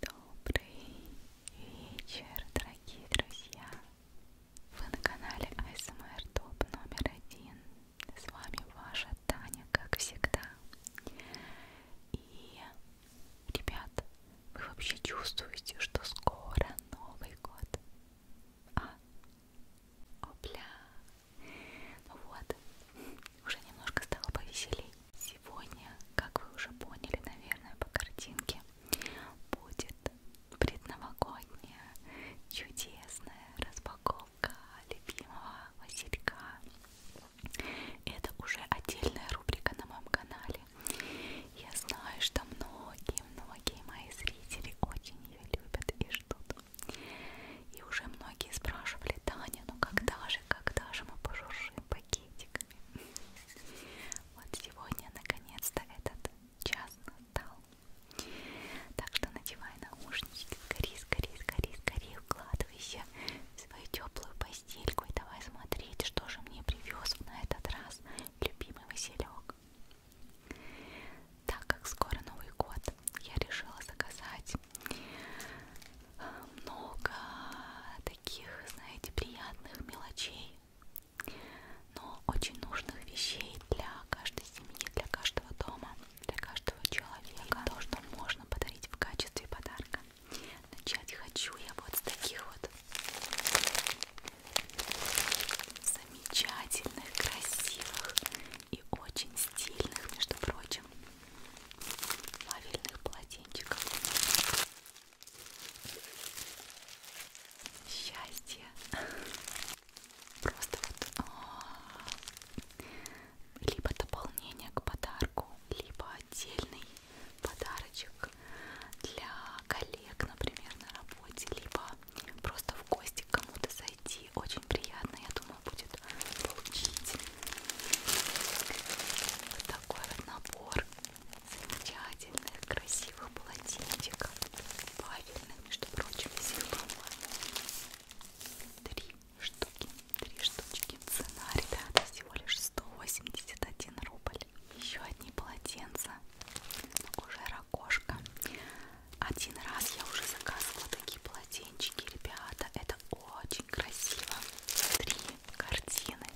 Добрый вечер, дорогие друзья! Вы на канале ASMR Топ номер один. С вами ваша Таня, как всегда. И, ребят, вы вообще чувствуете, что скоро Новый год? А? Опля, ну вот, уже немножко стало повеселей. Сегодня, как вы уже поняли, наверное, по картинке, будет предновогодняя чудесная распаковка любимого Василька. Это уже отдельная рубрика на моем канале. Я знаю, что многие-многие мои зрители очень ее любят и ждут. И уже многие спрашивали, Таня, ну когда же, когда же мы пожуршим пакетиками? Вот сегодня наконец-то этот час настал. Так что надевай наушнички, скорее, скорее, скорее, скорее вкладывайся в свою теплую постельку и давай смотреть, что же мне привез на этот раз любимый Василек. Так как скоро Новый год, я решила заказать а, много таких, знаете, приятных мелочей, но очень нужных вещей для каждой семьи, для каждого дома, для каждого человека. То, что можно подарить в качестве подарка. Начать хочу я вот с таких вот замечательных, красивых и очень стильных, между прочим, лавельных полотенчиков. Счастье! Просто вот о, а, либо дополнение к подарку, либо отдельный подарочек для коллег, например, на работе, либо просто в гости к кому-то зайти. Очень приятно, я думаю, будет получить вот такой вот набор замечательных, красивых полотенчиков, павельных, между прочим, всех, по-моему, три штуки, три штучки. Цена, ребята, всего лишь 181 рубль. Еще одни полотенца, уже ракошка. Один раз я уже заказывала такие полотенчики, ребята. Это очень красиво. Три картины.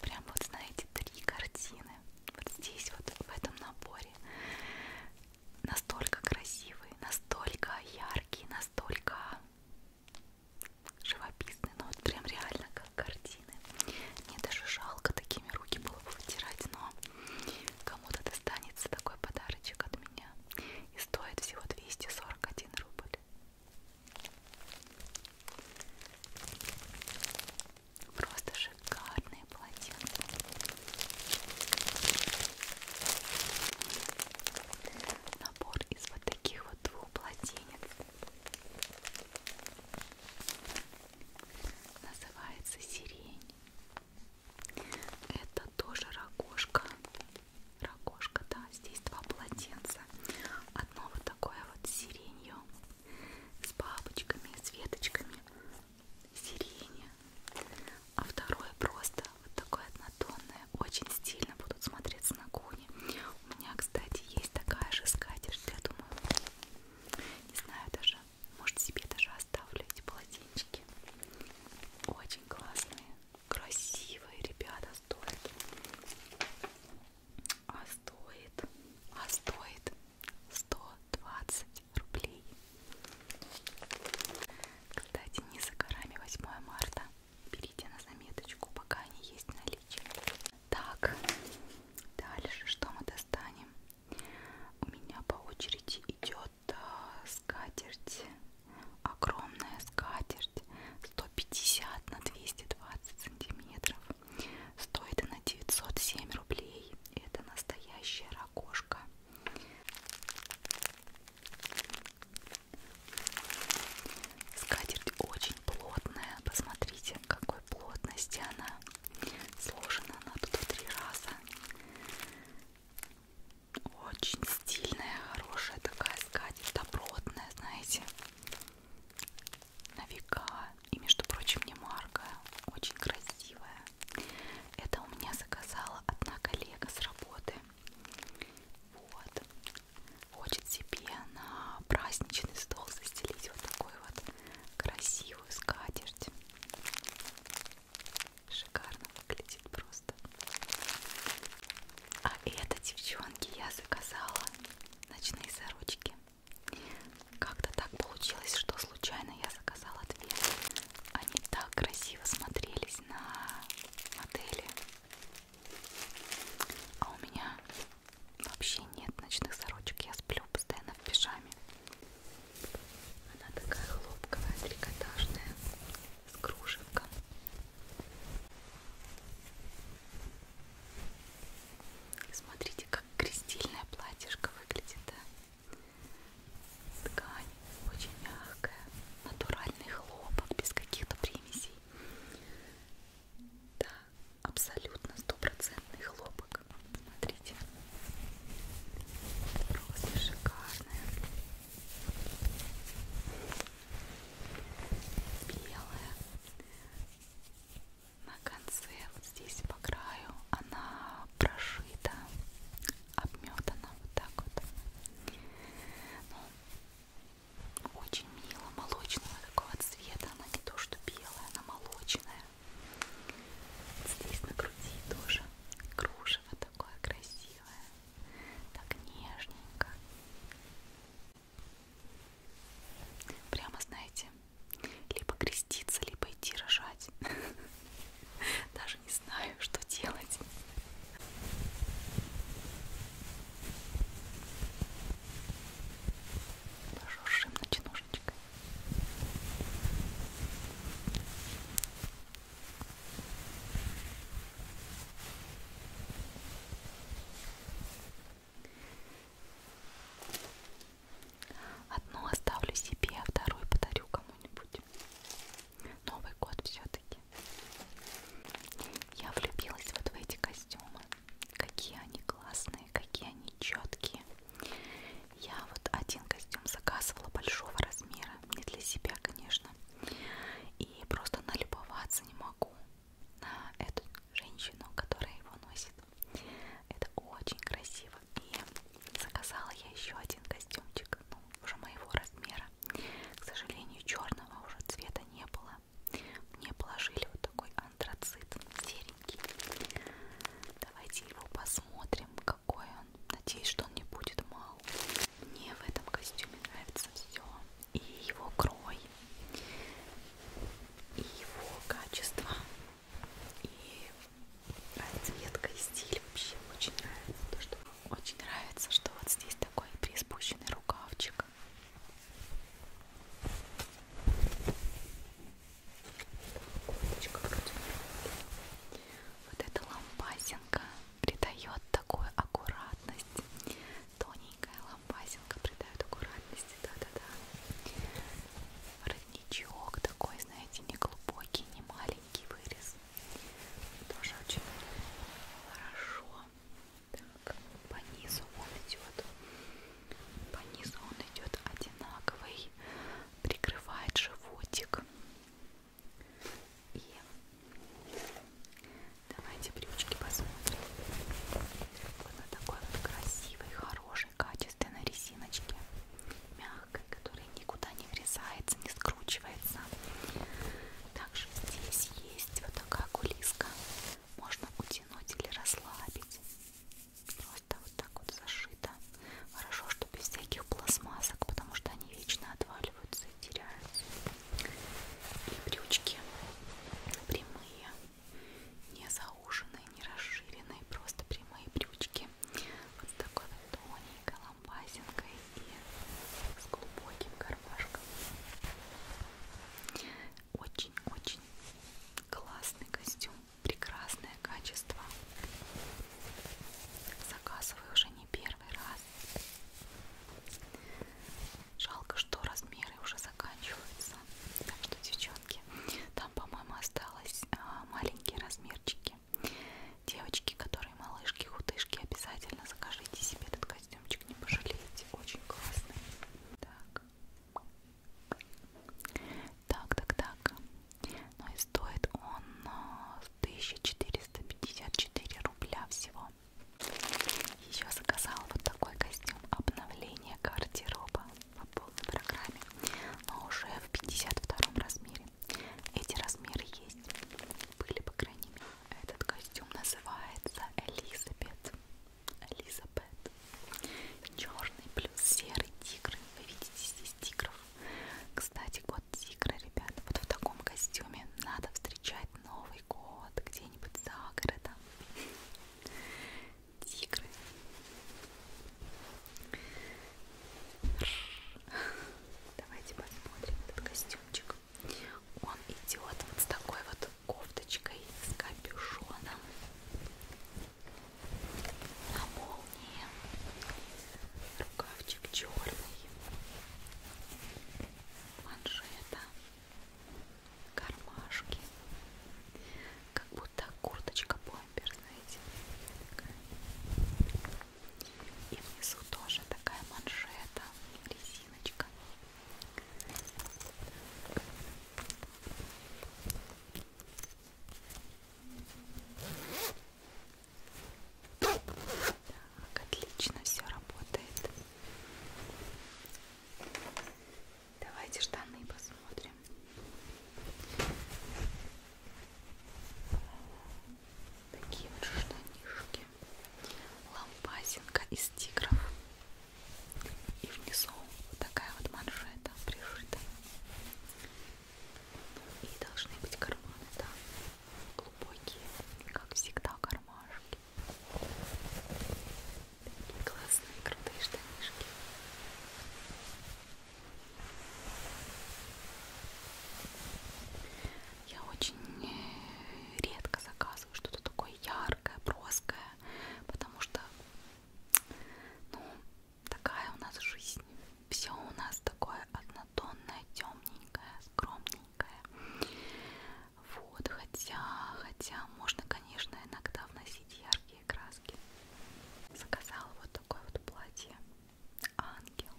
Прям вот, знаете, три картины. Вот здесь вот, в этом наборе. Настолько красивые, настолько яркие, настолько живописные. Ну вот прям реально как картины. Мне даже жалко такими руки было бы вытирать, но Кому-то достанется такой подарочек от меня. И стоит всего 241 рубль. Просто шикарные полотенца. Набор из вот таких вот двух полотенец. Называется сирень. Это тоже ракошка. Ракошка, да. Здесь два полотенца. Одно вот такое вот с сиренью, с бабочками, с веточками сирени. А второе просто вот такое однотонное. Очень стильно будут смотреться на кухне. У меня, кстати, есть такая же скатерть. Я думаю, не знаю даже, может, себе даже оставлю эти полотенчики. Очень классные, красивые, ребята, стоит. А стоит, а стоит 120 рублей. Кстати, не за горами 8 марта. Берите на заметочку, пока они есть в наличии. Так, дальше что мы достанем? У меня по очереди идет э, скатерть, огромная скатерть, 150 на 220 сантиметров. Стоит она 907 рублей. Это настоящая ракошка. Скатерть очень плотная. Посмотрите, какой плотности она. Сложена она тут в три раза. Очень стильная, хорошая такая скатерть, добротная, знаете, на века. И, между прочим, не марка, очень красивая. Это у меня заказала одна коллега с работы. Вот. Хочет себе на праздничный стол застелить вот такой вот красивый красивую скатерть. Шикарно выглядит просто. А это, девчонки, я заказала ночные сорочки. Как-то так получилось, что случайно я заказала две. Они так красиво смотрелись на модели. А у меня Вообще нет ночных сорочек, я сплю постоянно в пижаме. Она такая хлопковая, трикотажная, с кружевком. Смотрите, как крестильное платьишко выглядит, да? Ткань очень мягкая, натуральный хлопок, без каких-то примесей. Да, абсолютно стопроцентный хлопок. Смотрите. Просто шикарная. Белая. На конце, вот здесь по краю, она прошита, обметана вот так вот. Ну, очень очень мило молочного такого цвета. Она не то что белая, она молочная. Здесь на груди тоже кружево такое красивое, так нежненько. Прямо, знаете, либо креститься, либо идти рожать. Даже не знаю, что делать зажужжим ночнушечкой. Одну оставлю себе, а вторую подарю кому-нибудь. Новый год все-таки. Я влюбилась вот в эти костюмы. Какие они классные, какие они четкие. Я вот один костюм заказывала большого размера, не для себя, конечно. И просто налюбоваться не могу на эту женщину, которая его носит. Это очень красиво. И заказала я еще один костюмчик, ну, уже моего размера. К сожалению, черного уже цвета не было взяла. Мне положили вот такой антрацит серенький. Давайте его посмотрим, какой он. Надеюсь, что он не будет мал. Мне в этом костюме нравится все. И его крой, и его качество, и расцветка, и стиль вообще очень нравится. То, что... Очень нравится, что вот здесь такой приспущенный рукавчик так. Лампочка вроде Вот эта лампасинка придает такую аккуратность. Тоненькая лампасинка придает аккуратности, да-да-да. Родничок такой, знаете, не глубокий, не маленький вырез. Тоже очень хорошо. Так, по низу он идет. По низу он идет одинаковый, прикрывает животик. И давайте брючки посмотрим. Вот на такой вот красивой, хорошей, качественной резиночке. Мягкой, которая никуда не врезается, не скручивается. Также здесь есть вот такая кулиска можно утянуть или расслабить. Просто вот так вот зашито. Хорошо, что без всяких пластмассок, потому что они вечно отваливаются и теряются. И брючки прямые, не зауженные, не расширенные, просто прямые брючки. Вот с такой вот тоненькой лампасинкой и с глубоким кармашком. Очень-очень классный костюм, прекрасное качество. Заказываю уже не первый раз. Жалко, что размеры уже заканчиваются. Так что, девчонки, там, по-моему, осталось а, маленькие размерчики. Девочки, которые малышки, худышки, обязательно закажите себе этот костюмчик, не пожалеете, очень классный. Так, так, так, так. Ну и стоит он 1454 а, рубля всего. Еще заказал вот такой костюм обновления гардероба по полной программе, но уже в 52 размере. Эти размеры есть, были по крайней мере. Этот костюм называется Элизабет. Элизабет. Черный плюс серый тигр. Вы видите здесь тигров. Кстати, год тигра, ребята. Вот в таком костюме надо встречать Новый год где-нибудь за городом. Тигры. Давайте посмотрим этот костюмчик. Он идет вот с такой вот кофточкой с капюшоном на молнии. Рукавчик черный. Манжета. Кармашки. Как будто курточка бомбер, знаете. Такая. И внизу тоже такая манжета. Резинка. Зиночка. Так, отлично все работает. Давайте штаны посмотрим. Такие вот штанишки лампасинка из тигров и внизу вот такая вот манжета пришита и должны быть карманы да глубокие как всегда кармашки такие классные крутые штанишки я очень э, редко заказываю что-то такое яркое, броское, потому что, ну, такая у нас жизнь. Все у нас такое однотонное, темненькое, скромненькое. Вот, хотя, хотя можно, конечно, иногда вносить яркие краски. Заказала вот такое вот платье. Ангел.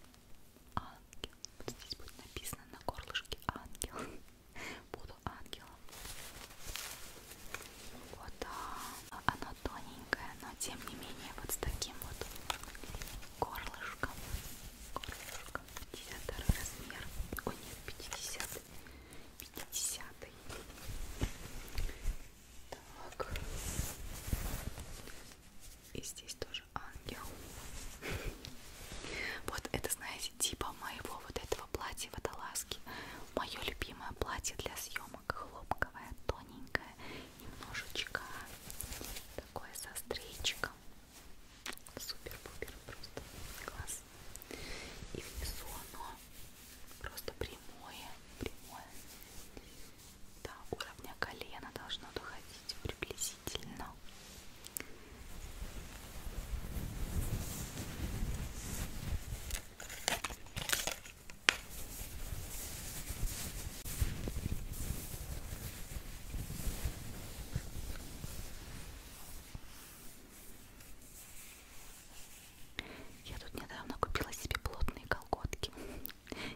Ангел. Вот здесь будет написано на горлышке ангел. Буду ангелом. Вот да. оно тоненькое, но тем не менее вот с таким вот горлышком. Горлышко. 52 размер. Ой, нет, 50. 50. Так. И здесь тоже ангел. Вот это, знаете, типа моего вот этого платья водолазки. Мое любимое платье для съемок. Хлопковое, тоненькое, немножечко такое со стрейчиком. Супер-пупер, просто класс. И внизу оно просто прямое, прямое до уровня колена должно доходить приблизительно. Я тут недавно купила себе плотные колготки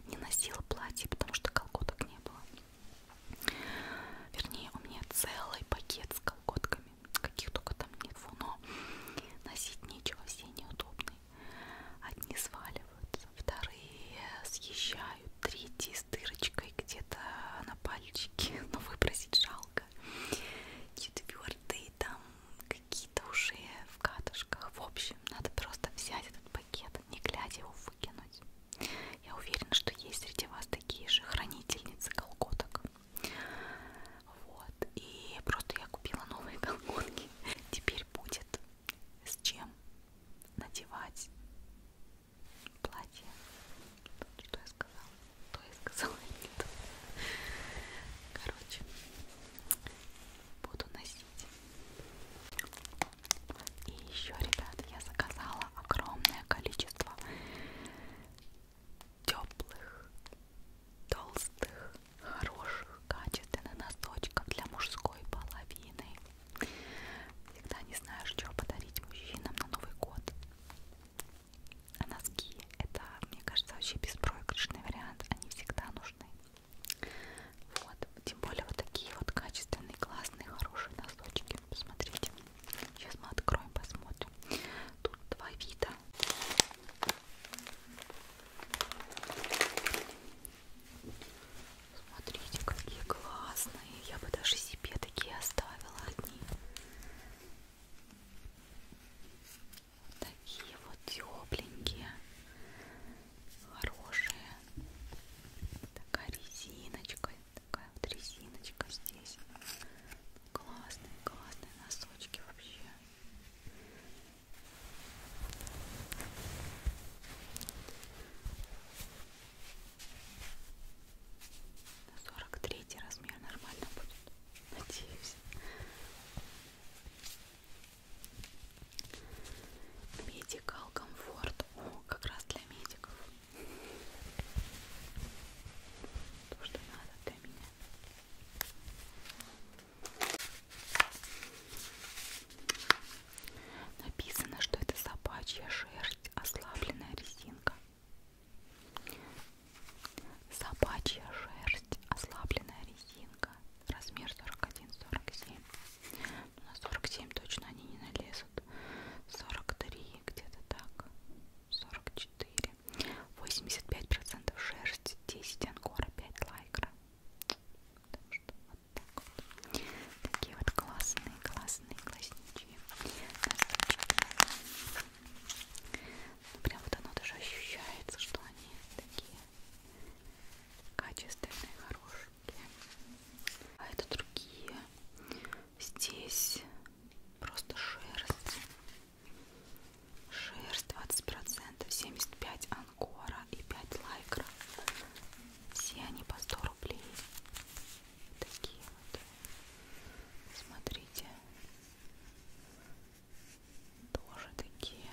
не носила платье, потому что колготок не было. Вернее, у меня целый пакет с колготками, каких только там нет, но носить нечего, все неудобные. Одни сваливаются, вторые съезжают, третьи с дырочкой где-то на пальчике, но выбросить жалко. Четвертые там какие-то уже в катышках. В общем, надо просто взять этот пакет, не глядя его выкинуть. Я уверена, что есть среди вас такие же хранительницы колготок. Вот. И просто я купила новые колготки. Теперь будет с чем надевать платье. Что я сказала? То я сказала нет. Короче, буду носить. И еще, ребята, я заказала огромное количество теплых, толстых, хороших, качественных носочков для мужской половины. Всегда не знаешь, что подарить мужчинам на Новый год. А носки это, мне кажется, вообще беспроигрышный вариант. Они всегда нужны. Вот, тем более вот такие вот качественные, классные, хорошие носочки. Посмотрите. Сейчас мы откроем, посмотрим. Тут два вида. Смотрите, какие классные. Я бы даже себе такие оставила одни. Такие вот тепленькие хорошие. Такая резиночка, такая вот резиночка здесь. Классные, классные носочки вообще. Сорок третий размер нормально будет, надеюсь. Медикал комфорт. О, как раз для медиков. То, что надо для меня. Написано, что это собачья шерсть, ослабленная резинка. Собачья шерсть шерсть, ослабленная резинка, размер 41-47. Ну, на 47 точно они не налезут. 43 где-то так. 44. 85% шерсть, 10 ангора, 5 лайкра. Так что вот так вот. Такие вот классные, классные классничьи. Ну, прям вот оно даже ощущается, что они такие качественные, хорошенькие. А это другие. Здесь просто шерсть. Шерсть 20%, 75 анкора и 5 лайкра. Все они по 100 рублей. Такие вот. Смотрите тоже такие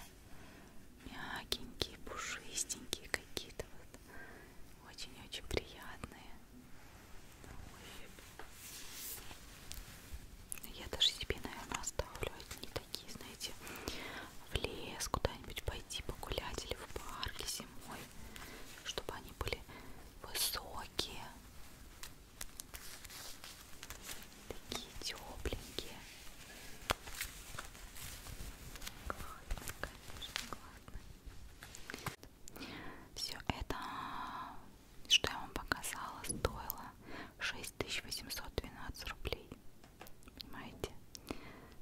мягенькие, пушистенькие какие-то вот очень-очень приятные на ощупь. Я даже себе, наверное, оставлю одни такие, знаете, в лес куда-нибудь пойти погулять или в парке зимой, чтобы они были высокие, Такие тепленькие. Классно, конечно, классно. Все это, что я вам показала, стоило 6812 рублей. Понимаете?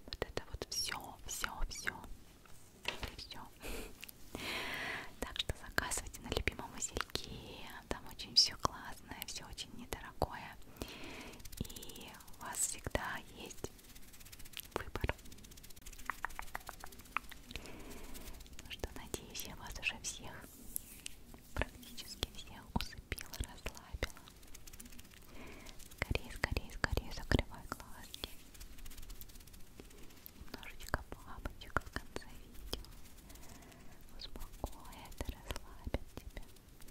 Вот это вот все, все, все. И все. Так что заказывайте на любимом узельке там очень все классное, все очень недорогое, и у вас всегда есть выбор. Ну что, надеюсь, я вас уже всех, практически всех усыпила, расслабила. Скорее, скорее, скорее закрывай глазки. Немножечко бабочек в конце видео успокоит и расслабит тебя. Хорошо.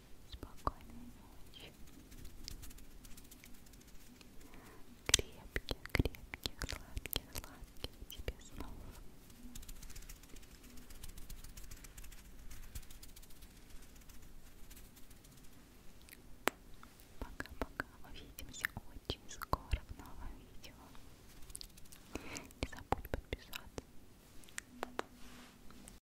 Спокойной ночи. Крепких, крепких, сладких, сладких тебе снов. Пока-пока. Увидимся очень скоро в новом видео. Не забудь подписаться.